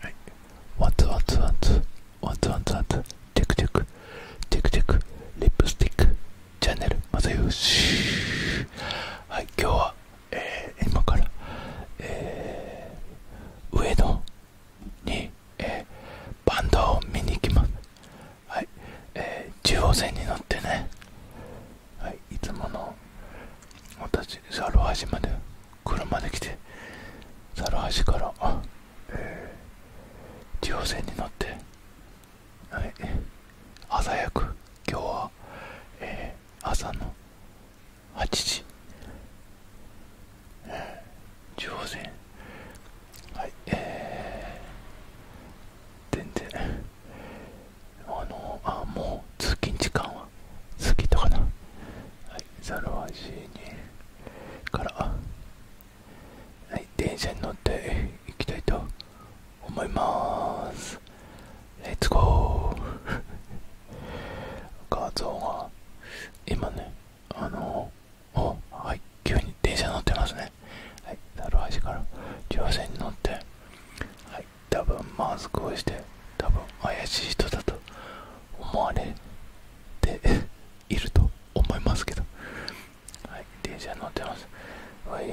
はい。ワツワツワツ、ワツワツワツ、テクテク、テクテク、リップスティック、チャンネル、まさよし。はい、今日は、え今から、え上野に、えバンドを見に行きます。はい、え中央線に乗ってね、はい、いつもの、私猿橋まで車で来て猿橋からあえー、地方線に乗ってはい朝早く今日は、えー、朝の8時、えー、中央線はいえー、全然あのあもう通勤時間は過ぎたかなはい、ザルワジーから、はい、電車に乗っていきたいと思いますレッツゴー画像が今ねあのおはい急に電車乗ってますねはいザルワジから乗船に乗ってはい多分マスクをして多分怪しい人だと思われていると思いますけどはい電車乗ってます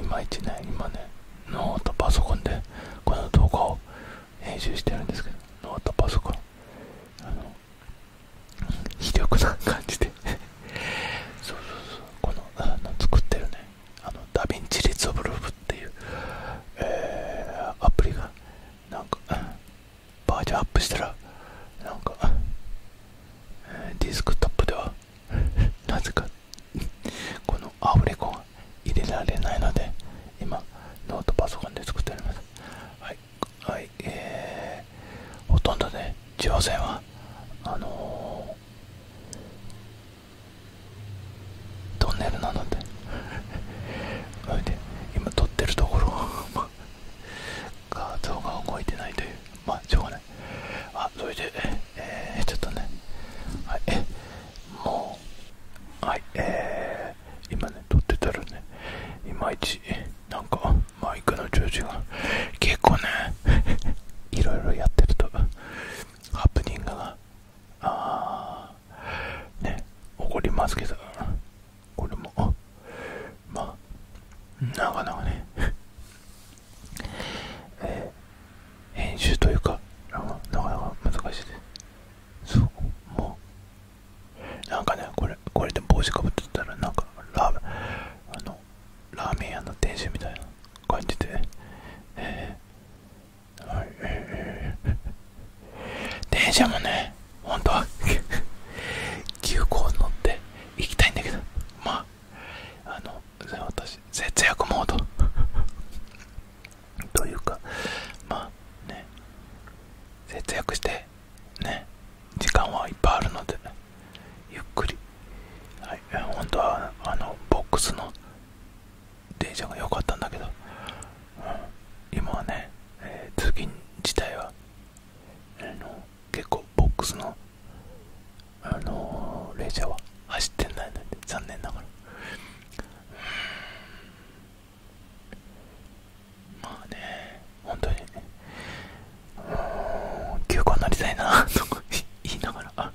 いまいちね今ねノートパソコンでこの動画を編集してるんですけどノートパソコンあの非力な感じで そうそうそうこのあの作ってるねあのダヴィンチリゾルブっていう、えー、アプリがなんかバージョンアップしたらなんかディスクトップでは なぜかこのアフレコが入れられないので今ノートパソコンで作っておりますはいはいえー、ほとんどで。地方線はあのトンネルなのでそれで今撮ってるところ 画像が動いてないというまあしょうがないあそれでえちょっとねはいもうはいえー、今ね撮ってたらねいまいちなんかマイクの調子が結構ね いろいろやってるとハプニングがああね怒りますけどこれもまあなかなかね ええ。編集というかなかなか難しいですそうもうなんかねこれこれで帽子かぶってたらなんかラーあのラーメン屋の店主みたいな感じで、ええ電車もね本当は急行に乗って行きたいんだけどまああの私節約モード というかまね節約してね時間はいっぱいあるので、ね、ゆっくり本当はあのボックスの電車が良かったんだけど、今はね、えー、通勤自体は、えの結構ボックスの、あの電車は走ってないので残念ながら、まあね本当に休暇になりたいなとか、言いながら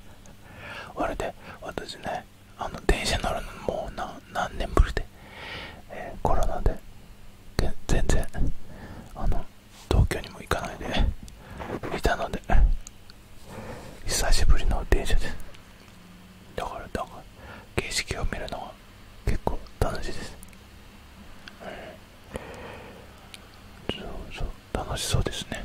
あれで私ねあの電車乗るのもう何何年ぶりで、えー、コロナで全然あの東京にも行かないでいたので久しぶりの電車ですだからだから景色を見るのが。結構楽しいです、そうそう楽しそうですね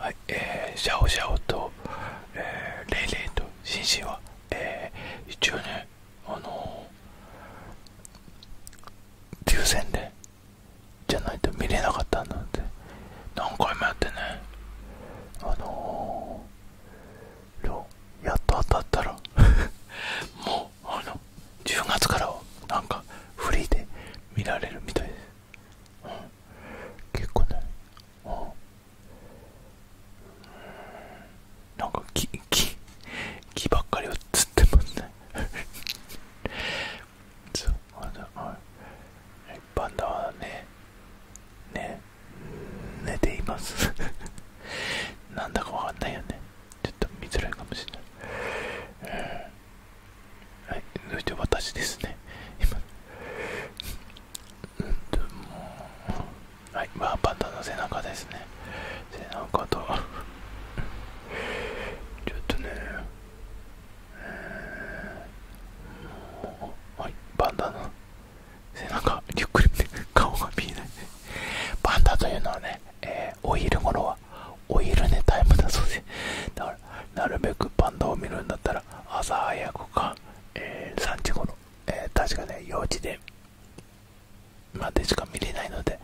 はい、えー、シャオシャオと、えー、レイレイとシンシンはえ一応ねあのー、抽選でじゃないと見れなかったんだって何回もやってねあのやっと当たったら もうあの10月からはなんかフリーで見られるみたいです、結構ねなんか木木ばっかり映ってますね そうパンダはねね寝ています なんだかわかんないよねちょっと見づらいかもしれないはい、そして私ですね、今、うう。んもはいまあパンダの背中ですね背中とちょっとね、えー、もうはいパンダの背中ゆっくり見て、顔が見えないパンダというのはね、えー、お昼頃はお昼寝タイムだそうでだからなるべくパンダを見るんだったら朝早くか、えー、3時頃え確かね、幼稚で、までしか見れないので、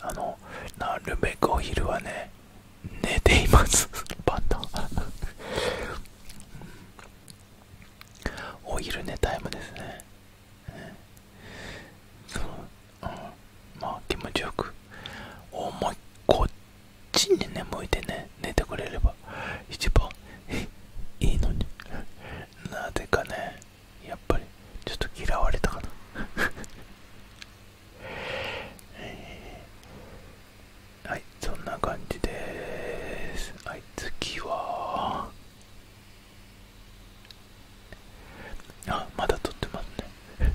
あの、なるべくお昼はね、寝ていますパ ンダお昼寝タイムですね。う、ん、ま気持ちよく、思いっこっちにね、向いてね、寝てくれれば。一番いいのになぜかねやっぱりちょっと嫌われたかな はいそんな感じですはい次はあまだ撮ってますね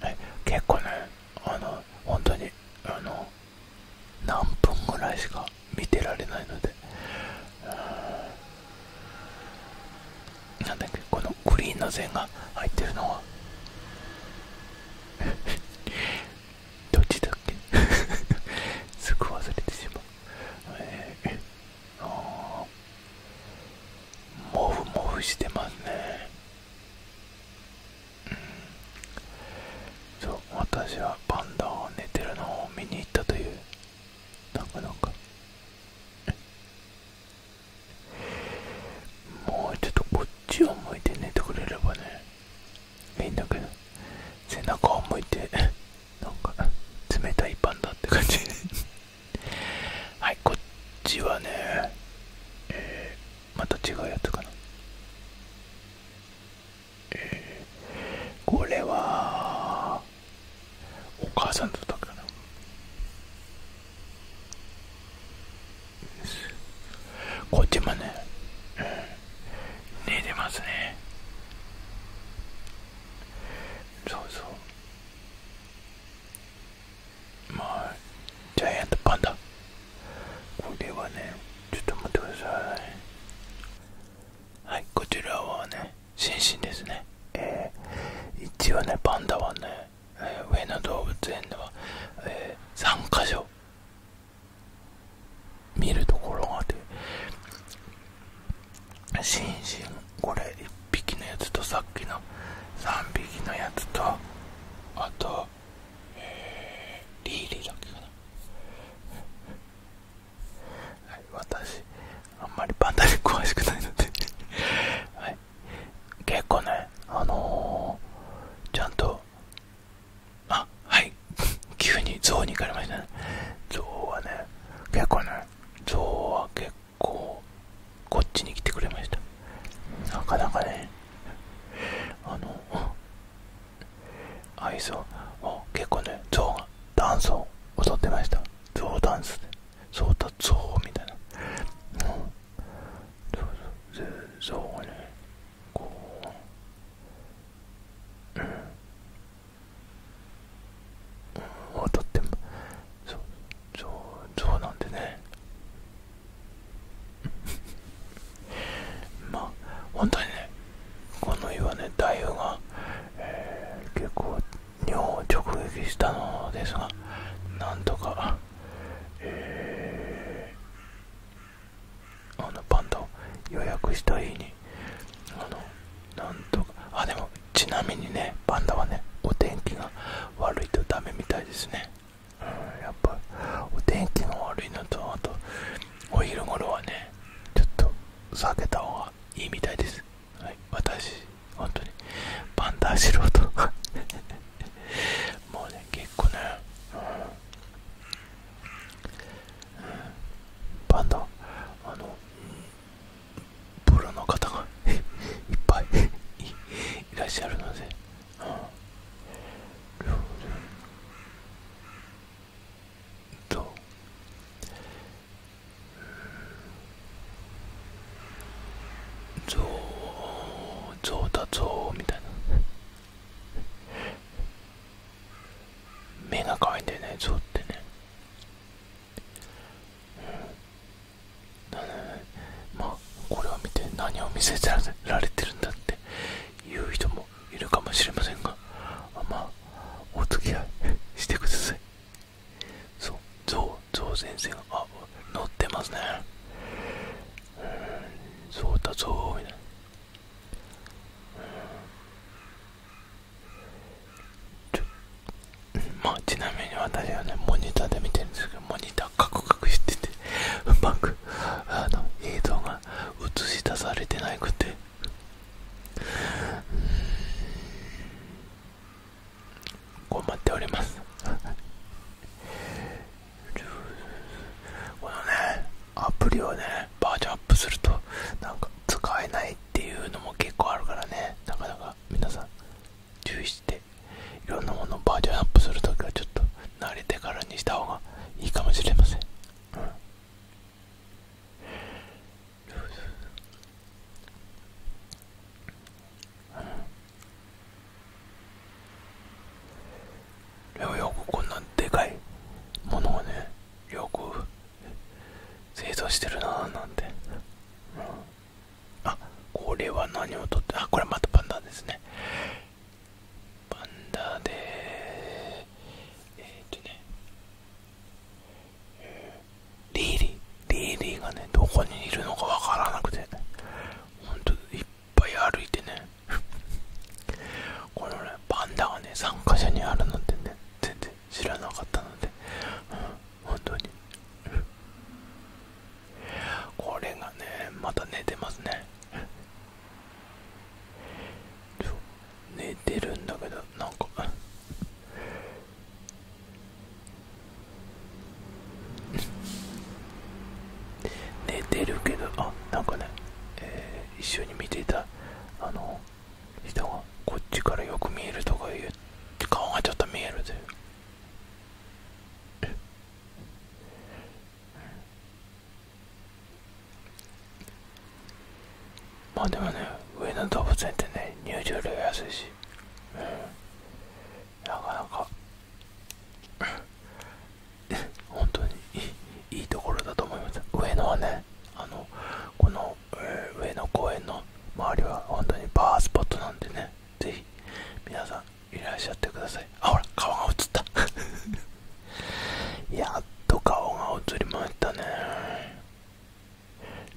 はい結構ねあの本当にあの何分ぐらいしか見てられないので、うなんだっけこのグリーンの線が入ってるのは どっちだっけ すぐ忘れてしまう、えー、あもふもふしてますねそう私はパンダを寝てるのを見に行ったというなかなかもうちょっとこっちを向いて寝てくれればねいいんだけど背中を向いてなんか冷たいパンダって感じ はいこっちはねえー、また違うやつかなえー、これはお母さんだったかなこっちもね、寝てますねそうそうまあジャイアントパンダこれはねちょっと待ってくださいはいこちらはねシンシンですねえー、一応ねパンダはね、え上野動物園では、え3か所見るところがあってシンシンこれ1匹のやつとさっきの3匹のやつとあとえー、リーリーだけかなはい私あんまりパンダで詳しくないのではい結構ねあのー、ちゃんとあはい急にゾウに行かれましたねゾウはね結構ねゾウは結構こっちに来てくれましたなかなかねあのアイスを結構ねゾウがダンスを踊ってましたゾウダンスでゾウだゾウみたいなうんそうそうゾウがねこううん、うん、踊ってもそうゾウゾウなんでね ま本当にねこの湯はね台風が、結構日本を直撃したのですがなんとか、あのパンダを予約した日にあのなんとかあでもちなみにねパンダはねお天気が悪いとダメみたいですねやっぱお天気の悪いのとあとお昼頃はねちょっと避けた方がいいみたいです、はい、私本当にパンダ素人 もうね結構ね、パンダあのプロの方が いっぱい いらっしゃるので両輪と象象だ象みたいな目が可愛いんだよね象ってね、うん、だねまあこれを見て何を見せられてるんだっていう人もいるかもしれませんがまあお付き合いしてくださいそうゾウゾウ先生があ乗ってますねうんそうだぞみいなちまあちなみに私はねモニターで見てるんですけどモニターカクカクしててうまくあの映像が映し出されてなくて困っておりますこのねアプリをねバージョンアップするとなんか使えないっていうのも結構あるからねなかなか皆さん注意していろんなものバージョンアップするときはちょっと慣れてからにした方がいいかもしれません、うんよくこんなでかいものをねよく製造してるなーなんて、うん、これは何をとってあこれまたパンダですねパンダでえっとね、えー、リーリーリーリーがねどこにいるのかわからなくてほんといっぱい歩いてねこのねパンダがね参加者にあるなんてね全然知らなかったので、うん、本当にこれがねまた寝てますね寝てるんだけどなんか寝てるけどあなんかね、えー、一緒に見ていたあの人がこっちからよく見えるとか言う顔がちょっと見えるというまあでもね上野動物園ってね入場料安いし、なかなか 本当にいいいいところだと思います上野はねあのこの、上野公園の周りは本当にバースポットなんでね是非皆さんいらっしゃってくださいあほら顔が映った やっと顔が映りましたね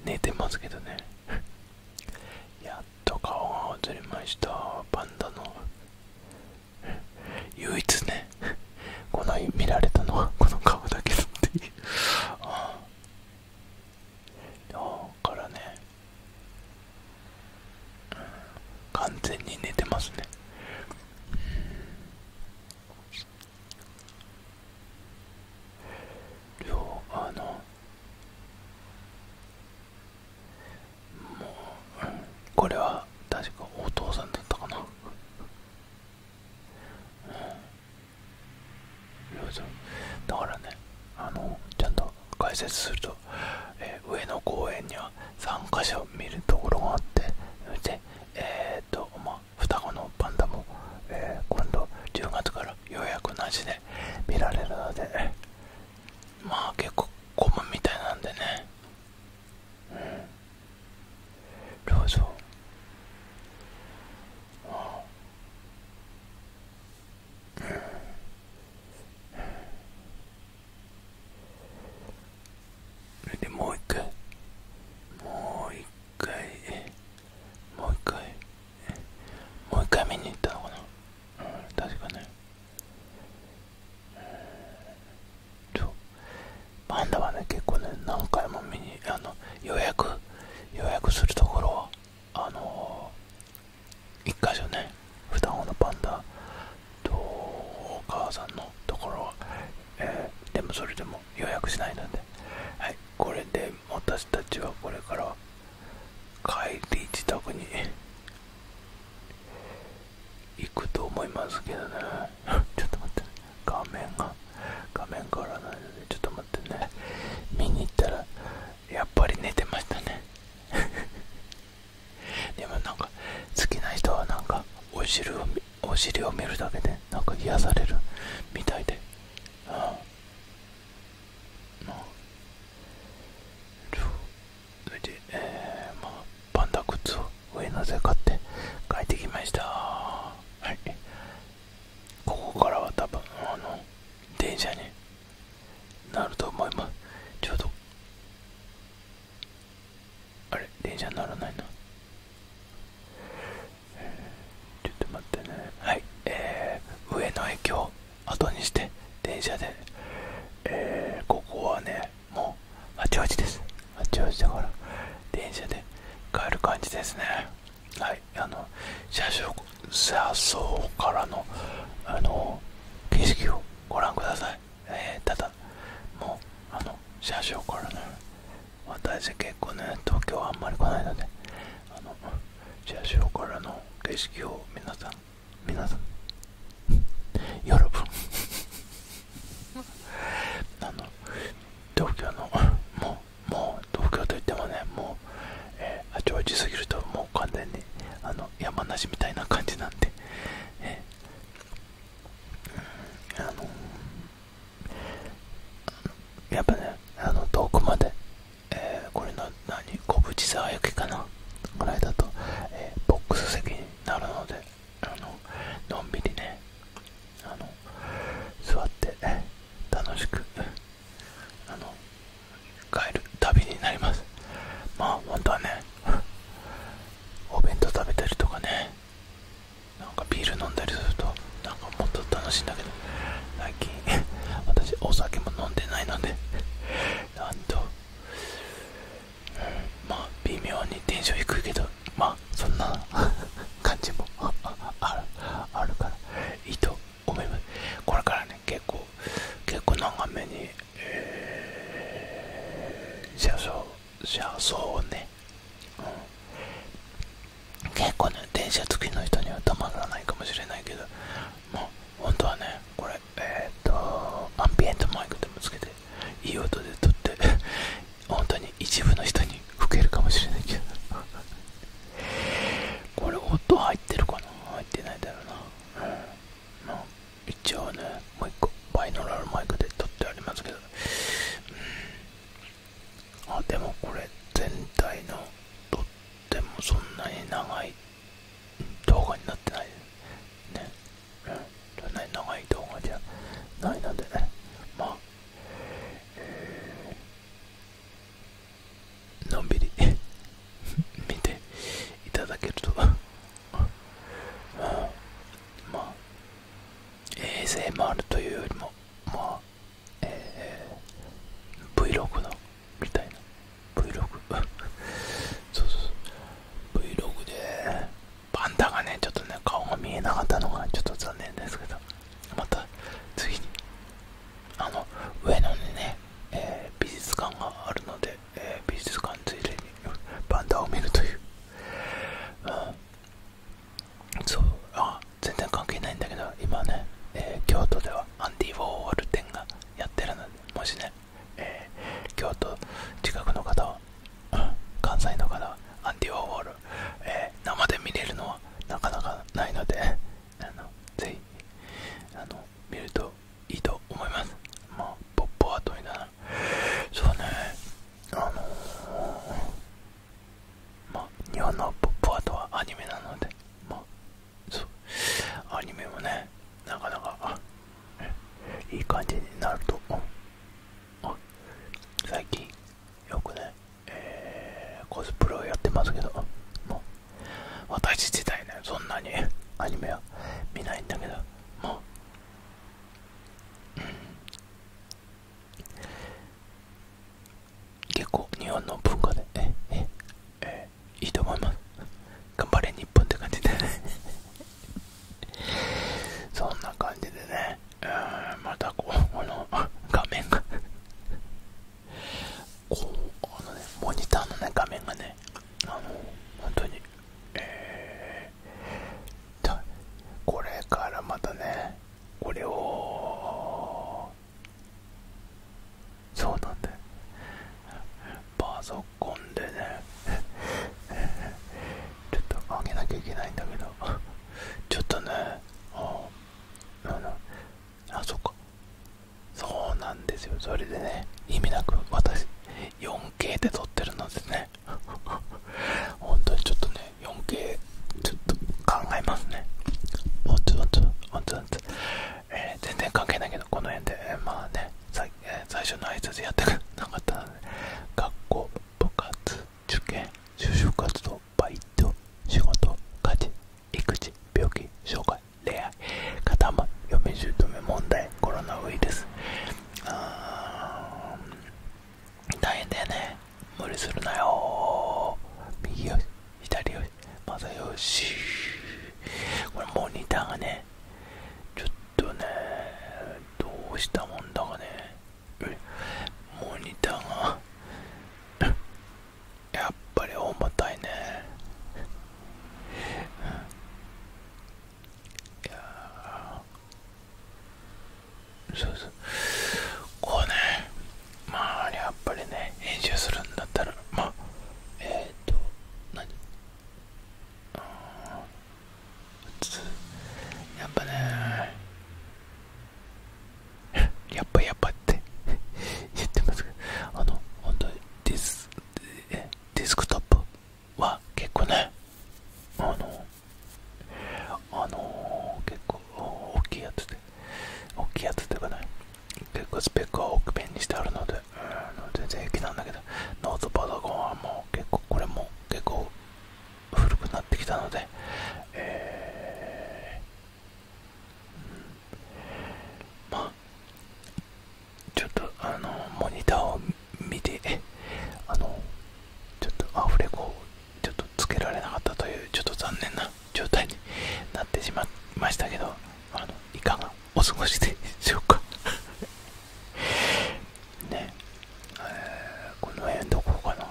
寝てますけどねやっと顔が映りましたパンダの唯一ねこの日見られたのはこの顔だけだってああだからね完全に寝てますね両あのもう、これは確かお父さんだったかな、うん、だからねあのちゃんと解説するとえ上野公園には3か所見るところがあってでえっとまあ双子のパンダも、え今度10月からよ予約なしで見られるのでまあ結構混むみたいなんでねうんどうぞ。うああうんそれでもう一回もう一回もう一回もう一回見に行ったのかなうん確かねそパンダはね結構ね何回も見にあの予約予約するところはあのー、一箇所ね双子のパンダとお母さんのところは、えでもそれでも予約しないので、はい、これで私たちはこれから帰り自宅に行くと思いますけどね ちょっと待って、ね、画面が画面変わらないのでちょっと待ってね見に行ったらやっぱり寝てましたねでもなんか好きな人はなんかお尻をお尻を見るだけでなんか癒されるみたいでああまあそれでえまあパンダ靴を上乗せ買って帰ってきましたはいここからは多分あの電車になると思いますちょうどあれ電車にならないの？えちょっと待ってねはいえー、上野駅を後にして電車でえここはねもう八王子です八王子だから電車で帰る感じですねはいあの車掌車窓からのあの景色をご覧くださいえー、ただもうあの車掌からね私結構ね東京はあんまり来ないのであの車掌からの景色を皆さん皆さん喜ぶ。あの東京のもうもう東京といってもねもう、えー、八王子すぎるともう完全にあの山梨みたいな感じなんで、ええあのやっぱねあの遠くまで、えこれの何小渕沢行きかなぐらいだと、えボックス席になるのであののんびりねあの座って楽しくあの帰る旅になりますまあ本当はねお弁当食べたりとかねなんかビール飲んだりするとなんかもっと楽しいんだけど最近 私お酒も飲んでないので なんと、まあ微妙にテンション低いけどまあそんな 感じもあるからいいと思いますこれからね結構結構長めに車窓車窓をね、結構ね電車付きの人にはたまらないかもしれないけどもう本当はねこれえっとアンビエントマイクでもつけていい音で撮って本当に一部の人に吹けるかもしれないけどこれ音入ってるかな入ってないだろうな、ま一応ね、もう1個バイノラルマイクで撮ってありますけど、うん、あ、でもこれ全体のとってもそんなに長い動画になってないね。うそんなに長い動画じゃないのでね、まえのんびり 見ていただけるとまあ ASMR というよりもまあえー、Vlog のみたいな Vlog そうそうそう Vlog でパンダがねちょっとね顔が見えなかったのがちょっと残念ですけどまた次にあの上野にね、えー、美術館があるのでえ美術館ついでにパンダを見るという、そうあ全然関係ないんだけど今ね、え京都ではアンディ・ウォーホル展がやってるのでもしね、え京都近くの方は、関西の方はアンディ・ウォーホル、えー、生で見れるのはなかなかないので あのぜひあの見るといいと思いますまあポッポは問いだなそうねあのまあ日本のポップアートはアニメなのでまあそうアニメもねなかなかいい感じになると最近よくね、えコスプレをやってますけど私自体ねそんなにアニメは見ないんだけどもう結構日本の文化でえいいと思います頑張れ日本って感じで そんな感じでねうんまたこうの画面がモニターのね画面がねあの本当にええ。ー、だこれからまたねこれをそうなんだよパソコンでねちょっと上げなきゃいけないんだけどちょっとねあああそっかそうなんですよそれでね意味なく私 4K で撮ってるのでね 本当にちょっとね 4K ちょっと考えますねおつおつおつおつ、えー、全然関係ないけどこの辺で、まあね最,、初の挨拶やってなかったので学校部活受験就職活動バイト仕事家事育児病気障害恋愛肩ま嫁姑問題コロナウイルス大変だよね無理するなよ右よし左よしまたよしこれモニターがねちょっとねどうしたもんだかねモニターがやっぱり重たいねいやそうそうこうねまあやっぱりね編集するんだったらまあえっ、ー、と何やっぱねやっぱやっぱって言 ってますけどあの本当にディスディスクトップは結構ねあのあの結構大きいやつで大きいやつでかね結構スペックは奥面にしてあるので、うん、全然平気なんだけどノートパソコンはもう結構これも結構古くなってきたので、えーまあちょっとあのモニターを見てあのちょっとアフレコをちょっとつけられなかったというちょっと残念な状態になってしまいましたけどあのいかがお過ごしでしょうか ねえこの辺どこかな、う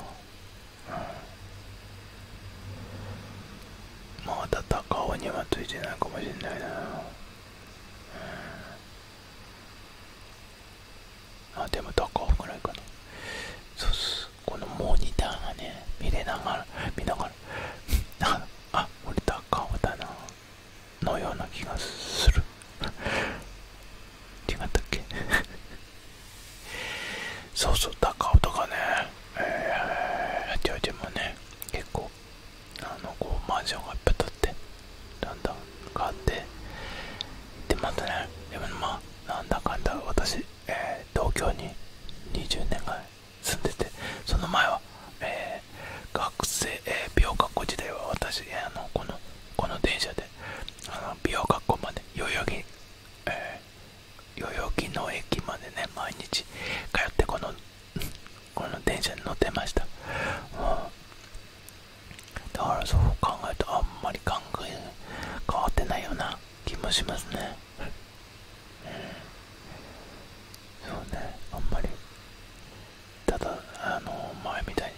ん、まあだった顔にはついてないかもしれないな、うんあでもどこぐらいかなそうっすこのモニターがね見れながら見ながら あ俺高尾だなのような気がする違ったっけ そうそう高尾とかねえー、八王子もね結構あのこうマンションがいっぱい建ってだんだん変わってでまたねでもまあなんだかんだ私、え東京に20年ぐらい住んでてその前は、え学生、え美容学校時代は私、あのこのこの電車であの美容学校まで代々木、え代々木の駅までね毎日通ってこのこの電車に乗ってました、だからそう考えるとあんまり考え変わってないような気もしますね、うん、そうねあんまりただあの前みたいに、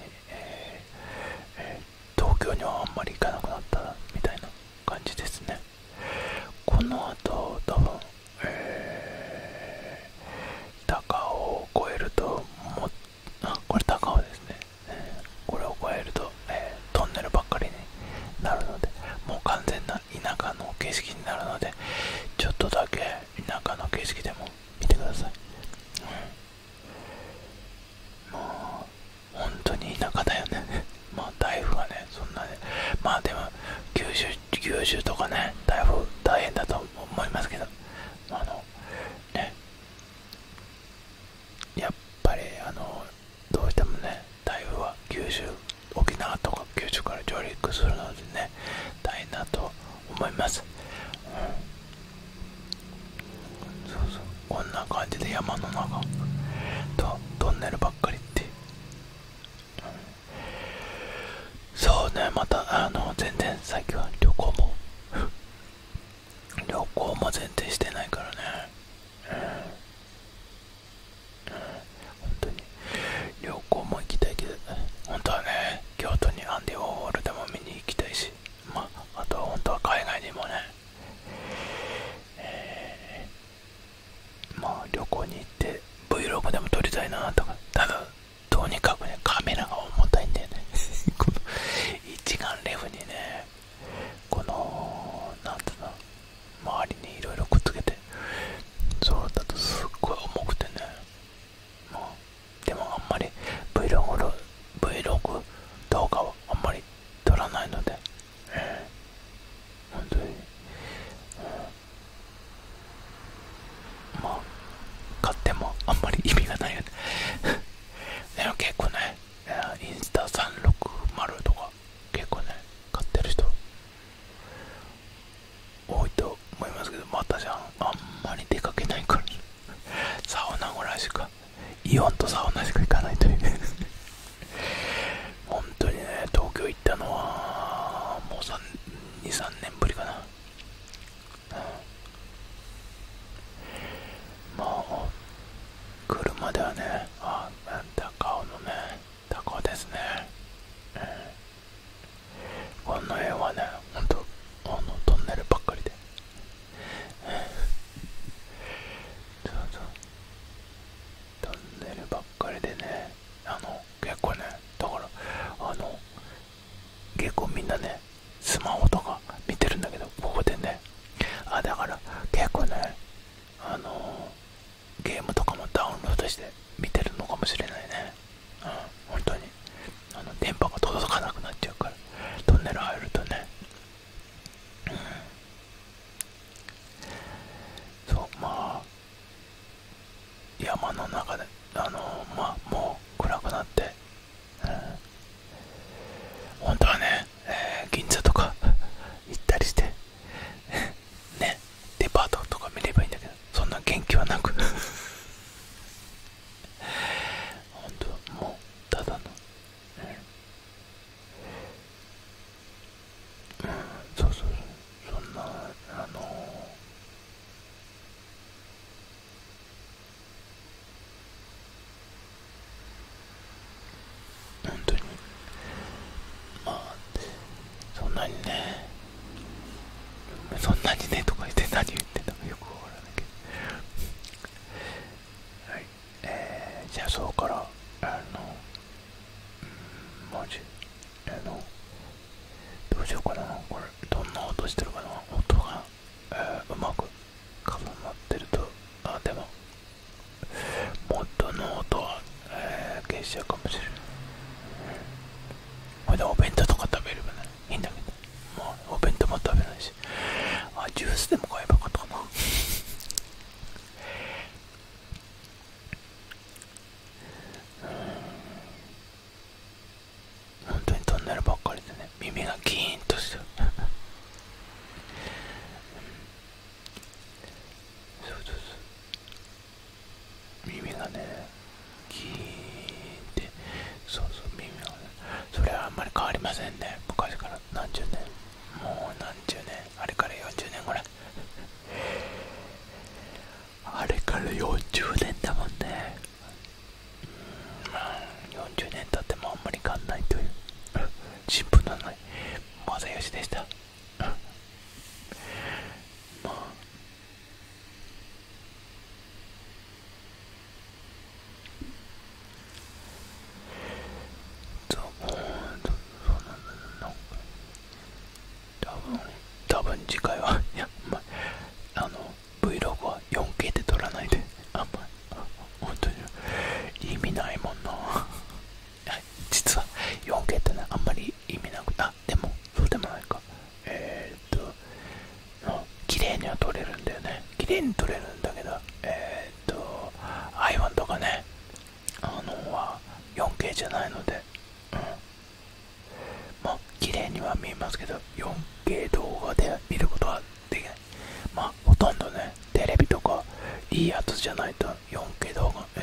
え東京にはあんまり行かなくなったみたいな感じですねこの後多分えー、高尾を越えるともあこれ高尾ですね、これを越えると、トンネルばっかりになるのでもう完全な田舎の景色になるのでちょっとだけ田舎の景色でも見てください、うん、本当に田舎だよね まあ台風はねそんなねまあでも九州九州とかね台風大変だと思す。思いますけどあのやっぱりあのどうしてもね台風は九州沖縄とか九州から上陸するのでね大変だと思います、そうそうこんな感じで山の中とトンネルばっかりって、うそうねまたあの全然最近は旅行も 旅行も全然してないからねうん、うん、本当に旅行も行きたいけど本当はね京都にアンディ・ウォールでも見に行きたいしまああとは本当は海外にもねえー、まあ旅行に行って Vlog でも撮りたいなとかただとにかくねカメラが重たいんだよね 一眼レフにねこのなんていうの周りにいろいろくっつけてそうだとすっごい重くてねもうでもあんまり Vlog, Vlog 動画はあんまり撮らないので、えー、本当に、まう買ってもあんまり意味がないよねでも結構ねインスタ360とか結構ね買ってる人多いと思いますけどまたじゃんあんまり出かけないからサウナぐらいしかイオンとサウナしか行かないという本当にね東京行ったのはもう23年ぶりかなもう車ではねあ高尾のね高尾ですね、うん、この辺はねほんとあのトンネルばっかりでそうそうトンネルばっかりでねあの結構ねだからあの結構みんなねスマホとか見てるんだけどここでねあだから結構ねあのゲームとかもダウンロードして見てるのかもしれないねうん本当にあの電波が届かなくなっちゃうからトンネル入るとねうんそうまあ山の中であのまあもう暗くなって、本当はね、えー、銀座とか 行ったりして ねデパートとか見ればいいんだけどそんな元気はなく 本当はもうただの、ね、うんそうそうそんなあの本当にまあそんなにねそんなにねとか言って 何言ってんだかよくわからないけどはいえー、じゃあそこからあのうん、文字あのどうしようかなこれどんな音してるかな音が、えうまく重なってるとあでも元の音は、えー、消しちゃうかもしれないこれでお弁当とか食べればいいんだけどもうお弁当も食べないしあジュースでも買えばよかったかなうん 本当にトンネルばっかりでね耳がギーンとしてるそうそうそう耳がねギーンってそうそう耳がねそれはあんまり変わりませんね昔から何十年もう何十年あれから40年ぐらいあれから40年だもんねま40年経ってもあんまり変わんないという新聞のない正義でしたまあそうそうなんだなん多分次回は あの Vlog は 4K で撮らないであんまり本当に意味ないもんな 実は 4K ってねあんまり意味なくてあでもそうでもないかえっと綺麗には撮れるんだよね綺麗に撮れるんだけどえっと i 1とかねあのは 4K じゃないので、もう綺麗には見えますけど 4K 動画で見ることはできないまあほとんどねテレビとかいいやつじゃないと 4K 動画って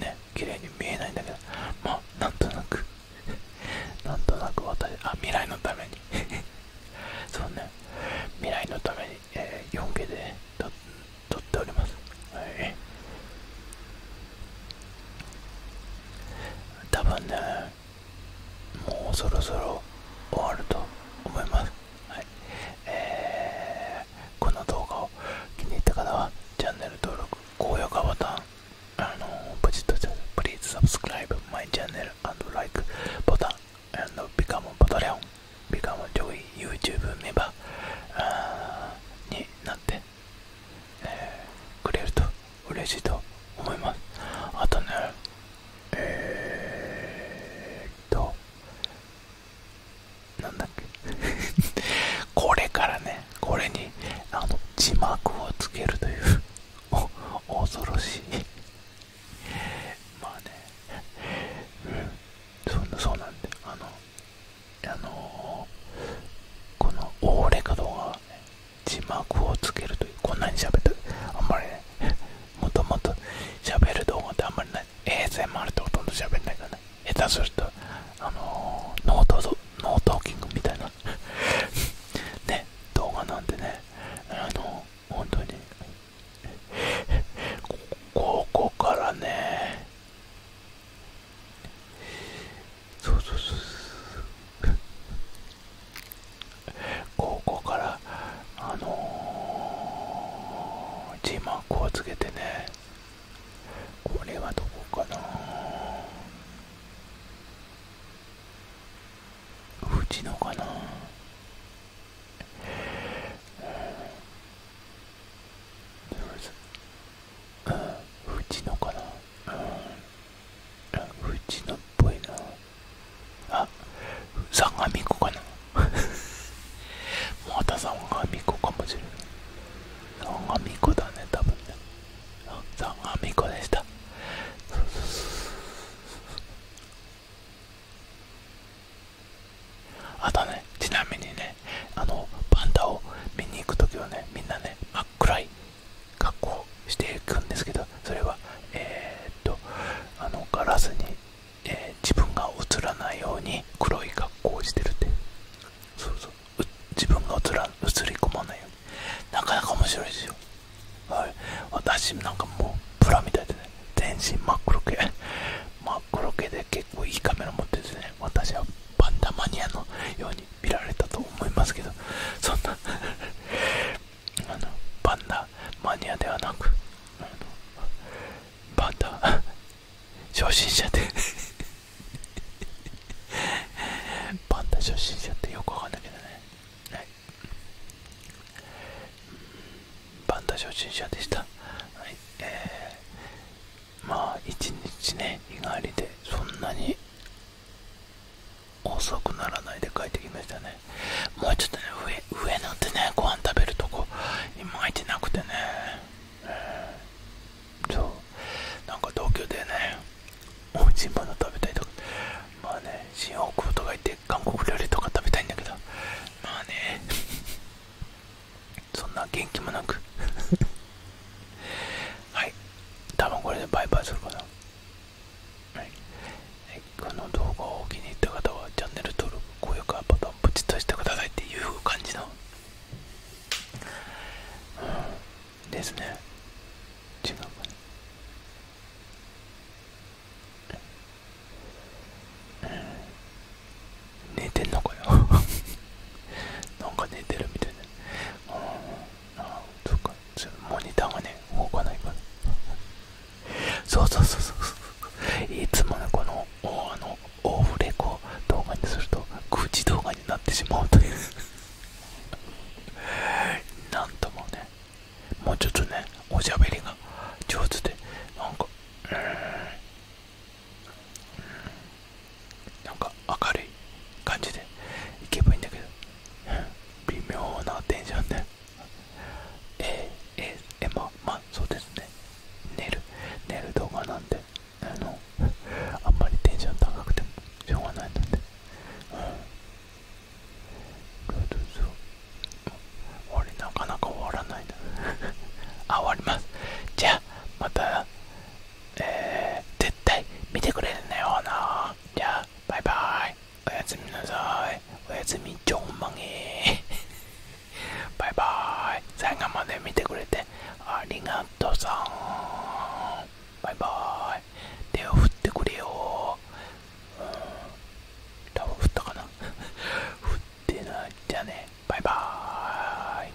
ね綺麗に見えないんだけどまあなんとなく なんとなく私あ未来のためにそうね未来のために、えー、4K で撮っておりますはい多分ねもうそろそろ終わると思います、はいえー、この動画を気に入った方はチャンネル登録高評価ボタンあのポチッとプリーズサブスクライブマイチャンネル y c h a n n l i k e ボタン and become a p a t r e o YouTube メンバーになってえくれると嬉しいと思いますあとねえっとなんだっけ これからねこれにあの字幕をつけるという お恐ろしいまあね、うん、そんなそうなんであのあのこのオーレかどうか字幕をつけるというこんなに喋ってあんまりね もともと喋る動画ってあんまりない ASMR ってほとんど喋んないから下手するとあのノートノートキングみたいな ね動画なんでねあの本当にここからねそうそうそうそう高校からあの字幕をつけてねこれはどこかなうちのかなうちのかなうちのっぽいなあ相模子かなまた相模子かもしれない相模子だね多分ね相模子でしたあとねちなみにねあのパンダを見に行く時はねみんなね真っ暗い格好をしていくんですけどそれはえっとあのガラスに、え自分が映らないように黒い格好をしてるってそうそう自分が映ら映り込まないようになかなか面白いですよはい私なんかもうプラみたいでね全身真っ黒系 真っ黒系で結構いいカメラ持っててね私はパンダマニアのように見られたと思いますけどそんな あのパンダマニアではなくパンダ初心者でパ ンダ初心者ってよくわかんないけどね、パンダ初心者でした、はいえーまあ一日ね日帰りでそんなに遅くならないで帰ってきましたねもうちょっとね上上なんてねご飯食べるとこ今まいてなくてね、そうなんか東京でねおいしいも食べたいとかまあね新大久保とか行って韓国料理とか食べたいんだけどまあねそんな元気もなくはい多分これでバイバイするかなはいこの動画をお気に入った方はチャンネル登録高評価ボタンポチッとしてくださいっていう感じのうんですね違うかな寝てんのかよ なんか寝てるみたいなモニターがね動かないからそうそうそうそうそういつものこのあのオフレコ動画にすると愚痴動画になってしまうというなんともねもうちょっとねおしゃべりが上手でなんかうんなんか明るい感じでいけばいいんだけど微妙なテンションでえー、えー、えー、まあそうですね寝る寝る動画なんであのあんまりテンション高くてもしょうがないのでうんそううそう俺なかなか終わらないな あ終わりますじゃあまたえー、絶対見てくれるんだよなじゃあバイバイおやすみなさいおやすみちょんまげバイバイ最後まで見てくれてありがとうさんバイバイ手を振ってくれようん多分振ったかな 振ってないじゃねバイバーイ